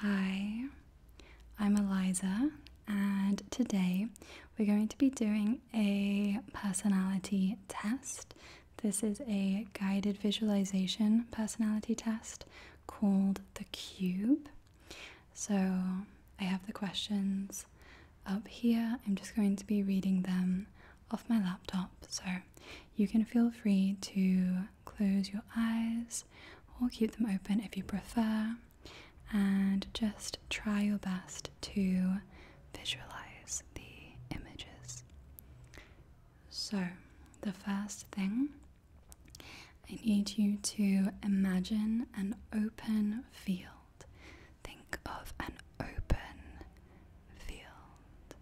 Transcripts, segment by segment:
Hi, I'm Eliza, and today we're going to be doing a personality test. This is a guided visualization personality test called the Cube. So I have the questions up here. I'm just going to be reading them off my laptop. So you can feel free to close your eyes or keep them open if you prefer and just try your best to visualize the images. So, the first thing I need you to imagine an open field. Think of an open field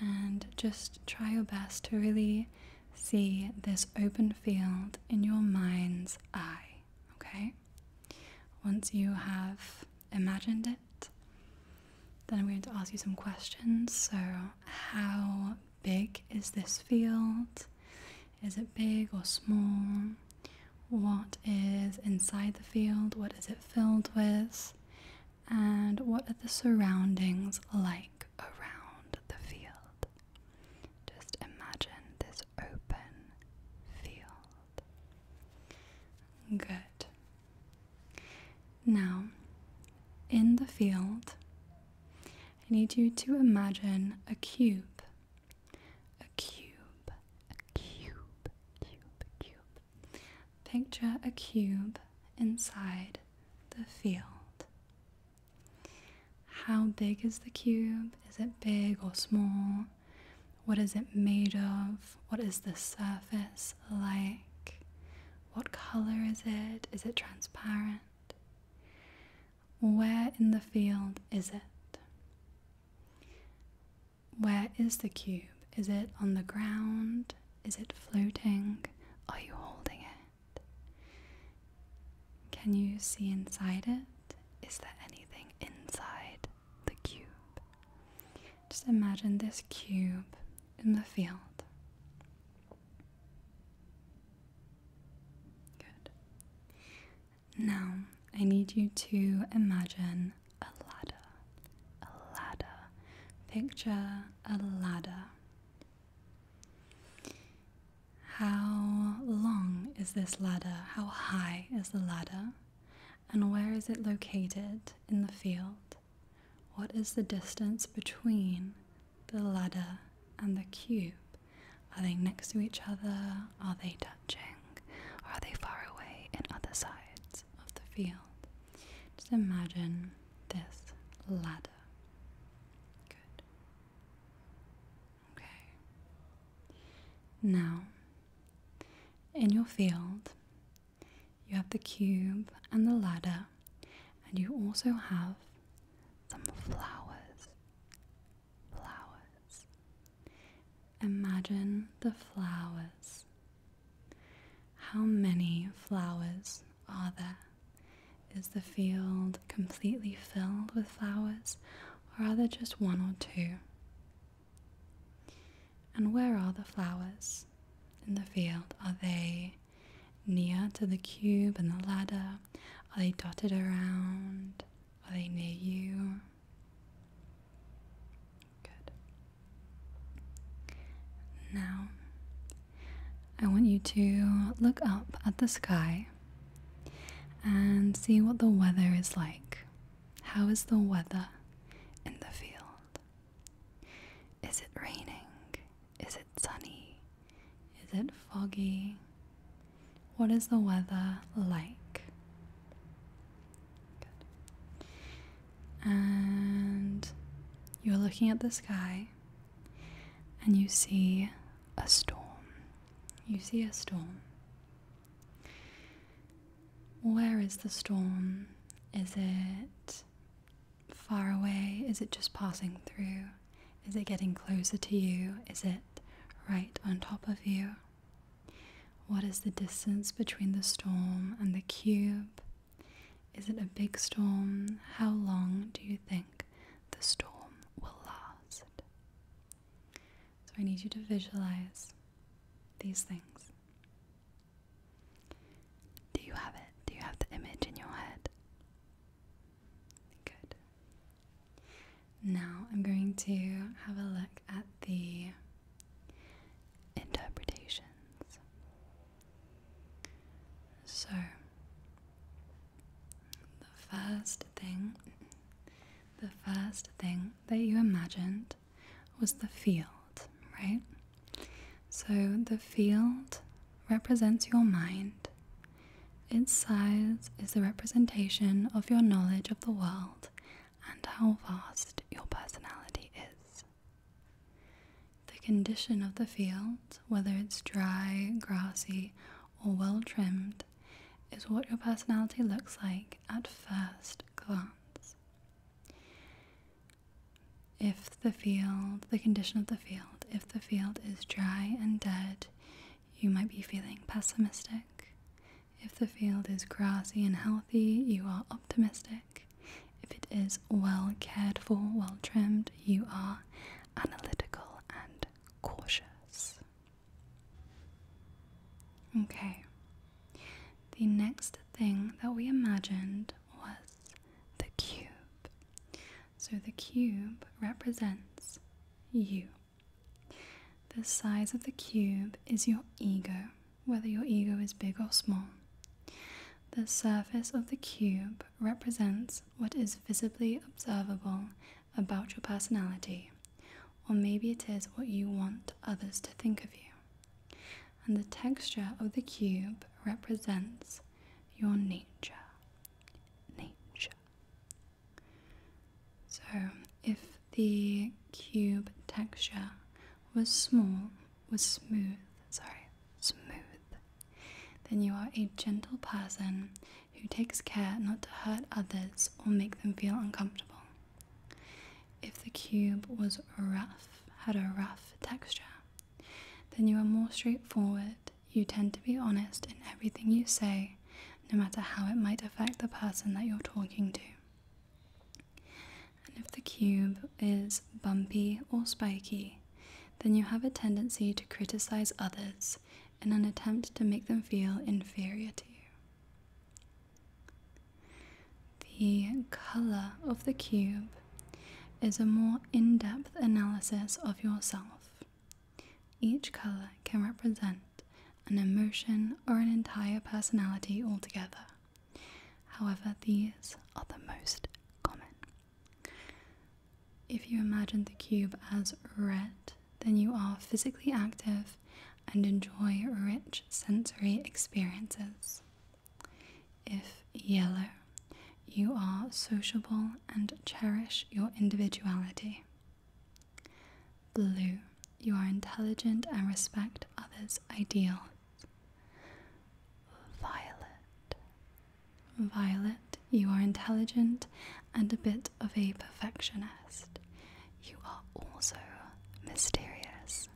and just try your best to really see this open field in your mind's eye, okay? Once you have imagined it, then I'm going to ask you some questions. So, how big is this field? Is it big or small? What is inside the field? What is it filled with? and what are the surroundings like around the field? Just imagine this open field. Good. Now, in the field, I need you to imagine a cube. A cube, a cube, cube, cube. Picture a cube inside the field. How big is the cube? Is it big or small? What is it made of? What is the surface like? What color is it? Is it transparent? Where in the field is it? Where is the cube? Is it on the ground? Is it floating? Are you holding it? Can you see inside it? Is there anything inside the cube? Just imagine this cube in the field. Good. Now, I need you to imagine a ladder a ladder. Picture a ladder. How long is this ladder? How high is the ladder? And where is it located in the field? What is the distance between the ladder and the cube? Are they next to each other? Are they touching? Or are they far away in other sides? of the field. Just imagine this ladder. Good. Okay. Now, in your field, you have the cube and the ladder, and you also have some flowers. Flowers. Imagine the flowers how many flowers are there? Is the field completely filled with flowers, or are there just one or two? And where are the flowers in the field? Are they near to the cube and the ladder? Are they dotted around? Are they near you? Good. Now, I want you to look up at the sky and see what the weather is like. How is the weather in the field? Is it raining? Is it sunny? Is it foggy? What is the weather like? Good and you're looking at the sky and you see a storm. You see a storm. Where is the storm? Is it far away? Is it just passing through? Is it getting closer to you? Is it right on top of you? What is the distance between the storm and the cube is it a big storm? How long do you think the storm will last? So I need you to visualize these things. Do you have it? Do you have the image in your head? Good. Now I'm going to have a look at the interpretations. So, the first thing, the first thing that you imagined was the field, right? So, the field represents your mind. Its size is a representation of your knowledge of the world and how vast your personality is. The condition of the field, whether it's dry, grassy, or well trimmed, is what your personality looks like at first glance. If the field, the condition of the field, if the field is dry and dead, you might be feeling pessimistic. If the field is grassy and healthy, you are optimistic. If it is well cared for, well trimmed, you are analytical and cautious. Okay, the next thing that we imagined was the cube. So the cube represents you. The size of the cube is your ego, whether your ego is big or small. The surface of the cube represents what is visibly observable about your personality, or maybe it is what you want others to think of you. And the texture of the cube represents your nature. Nature. So, if the cube texture was small was smooth, sorry, smooth. Then you are a gentle person who takes care not to hurt others or make them feel uncomfortable. If the cube was rough, had a rough texture, then you are more straightforward. You tend to be honest in everything you say, no matter how it might affect the person that you're talking to. And if the cube is bumpy or spiky, then you have a tendency to criticize others in an attempt to make them feel inferior to you. The color of the cube is a more in depth analysis of yourself. Each color can represent an emotion or an entire personality altogether. However, these are the most common. If you imagine the cube as red, then you are physically active and enjoy rich sensory experiences. If yellow, you are sociable and cherish your individuality. Blue, you are intelligent and respect others' ideals. Violet. Violet, you are intelligent and a bit of a perfectionist. You are also mysterious.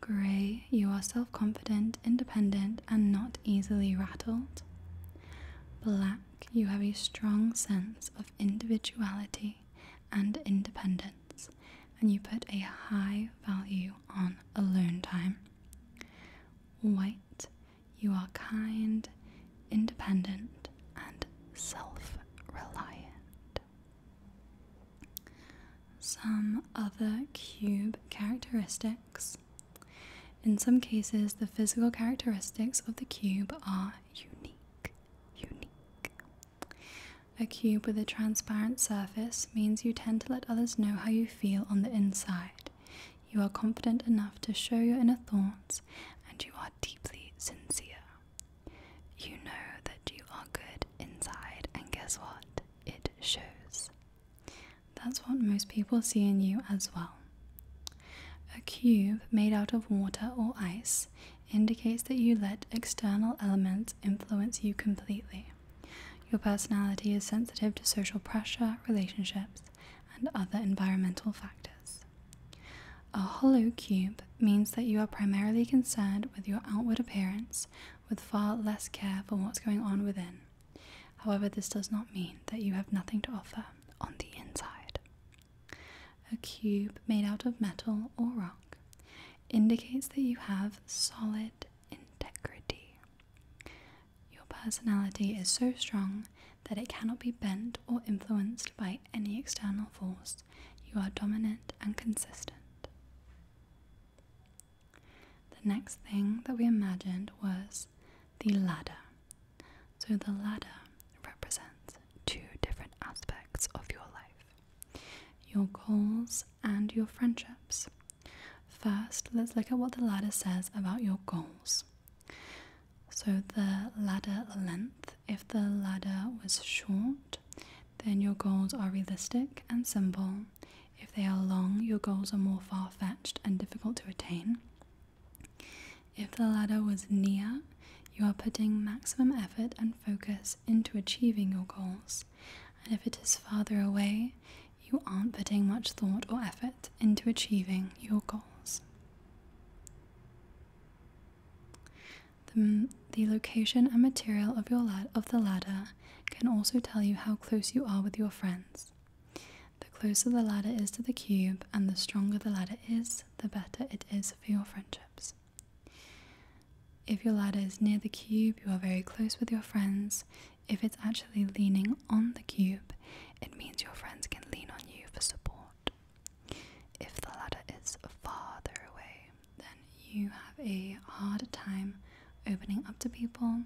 Grey, you are self confident, independent, and not easily rattled. Black, you have a strong sense of individuality and independence, and you put a high value on alone time. White, you are kind, independent, and self reliant. Some other cube characteristics. In some cases, the physical characteristics of the cube are unique. Unique. A cube with a transparent surface means you tend to let others know how you feel on the inside. You are confident enough to show your inner thoughts, and you are deeply sincere. You know that you are good inside, and guess what? It shows. That's what most people see in you as well. A cube made out of water or ice indicates that you let external elements influence you completely. Your personality is sensitive to social pressure, relationships, and other environmental factors. A hollow cube means that you are primarily concerned with your outward appearance with far less care for what's going on within. However, this does not mean that you have nothing to offer on the inside. A cube made out of metal or rock indicates that you have solid, integrity. Your personality is so strong that it cannot be bent or influenced by any external force. You are dominant and consistent. The next thing that we imagined was the ladder. So the ladder represents two different aspects of your life your goals and your friendships. First, let's look at what the ladder says about your goals. So, the ladder length if the ladder was short, then your goals are realistic and simple. If they are long, your goals are more far fetched and difficult to attain. If the ladder was near, you are putting maximum effort and focus into achieving your goals and if it is farther away, you aren't putting much thought or effort into achieving your goals. The, the location and material of, your of the ladder can also tell you how close you are with your friends. The closer the ladder is to the cube and the stronger the ladder is, the better it is for your friendships. If your ladder is near the cube, you are very close with your friends. If it's actually leaning on the cube, it means your friends can lean on you for support. If the ladder is farther away, then you have a harder time opening up to people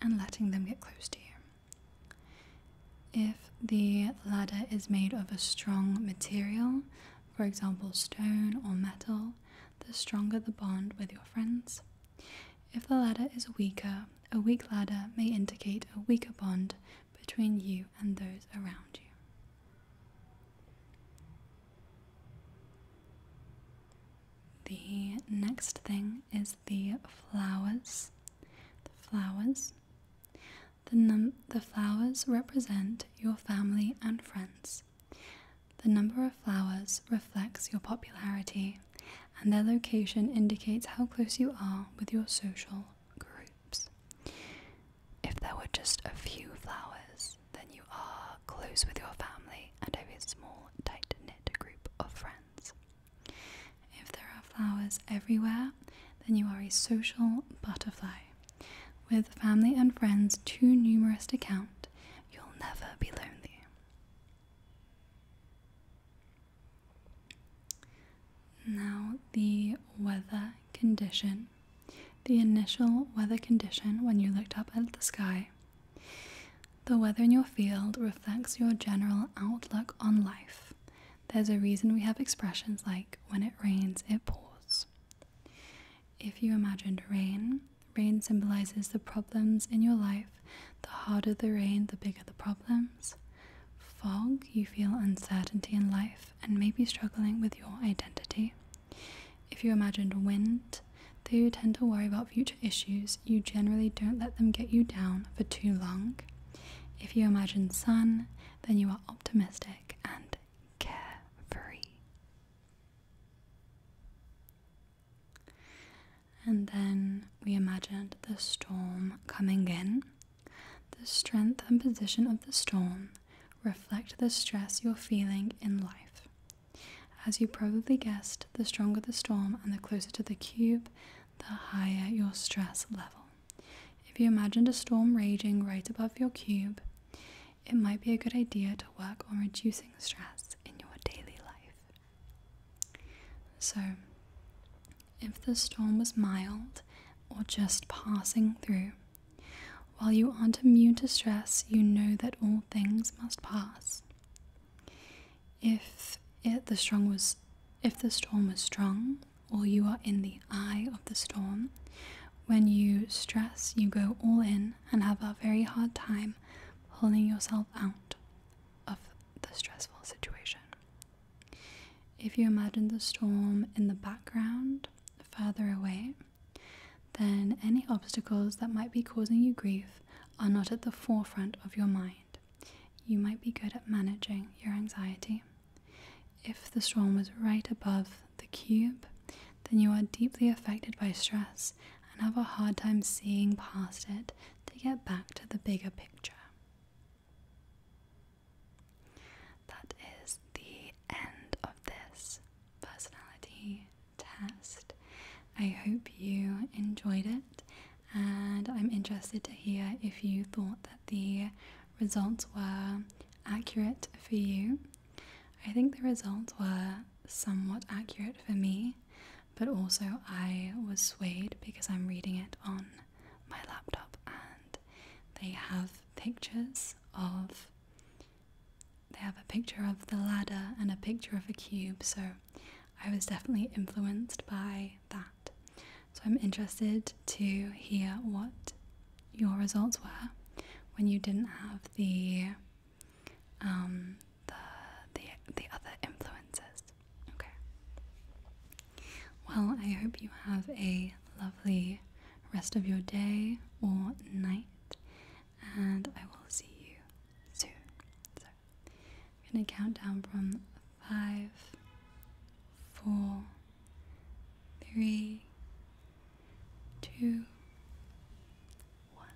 and letting them get close to you. If the ladder is made of a strong material, for example, stone or metal, the stronger the bond with your friends. If the ladder is weaker, a weak ladder may indicate a weaker bond between you and those around you. The next thing is the flowers. The flowers. The, num- the flowers represent your family and friends. The number of flowers reflects your popularity and their location indicates how close you are with your social groups. If there were just a few flowers, then you are close with your family and have a small, tight knit group of friends. If there are flowers everywhere, then you are a social butterfly. With family and friends too numerous to count, you'll never be lonely. Now, the weather condition, the initial weather condition when you looked up at the sky. The weather in your field reflects your general outlook on life. There's a reason we have expressions like when it rains, it pours. If you imagined rain, rain symbolizes the problems in your life the harder the rain, the bigger the problems. Fog, you feel uncertainty in life and may be struggling with your identity. If you imagined wind, though you tend to worry about future issues, you generally don't let them get you down for too long. If you imagine sun, then you are optimistic and carefree. And then we imagined the storm coming in. The strength and position of the storm reflect the stress you're feeling in life. As you probably guessed, the stronger the storm and the closer to the cube, the higher your stress level. If you imagined a storm raging right above your cube, it might be a good idea to work on reducing stress in your daily life. So, if the storm was mild or just passing through, while you aren't immune to stress, you know that all things must pass. If the strong was, if the storm was strong, or you are in the eye of the storm, when you stress, you go all in and have a very hard time pulling yourself out of the stressful situation. If you imagine the storm in the background, further away, then any obstacles that might be causing you grief are not at the forefront of your mind. You might be good at managing your anxiety. If the storm is right above the cube, then you are deeply affected by stress and have a hard time seeing past it to get back to the bigger picture. That is the end of this personality test. I hope you enjoyed it, and I'm interested to hear if you thought that the results were accurate for you. I think the results were somewhat accurate for me but also I was swayed because I'm reading it on my laptop and they have pictures of they have a picture of the ladder and a picture of a cube so I was definitely influenced by that. So I'm interested to hear what your results were when you didn't have the um, the the the other influences. Okay. Well, I hope you have a lovely rest of your day or night, and I will see you soon. So I'm gonna count down from five, four, three, two, one.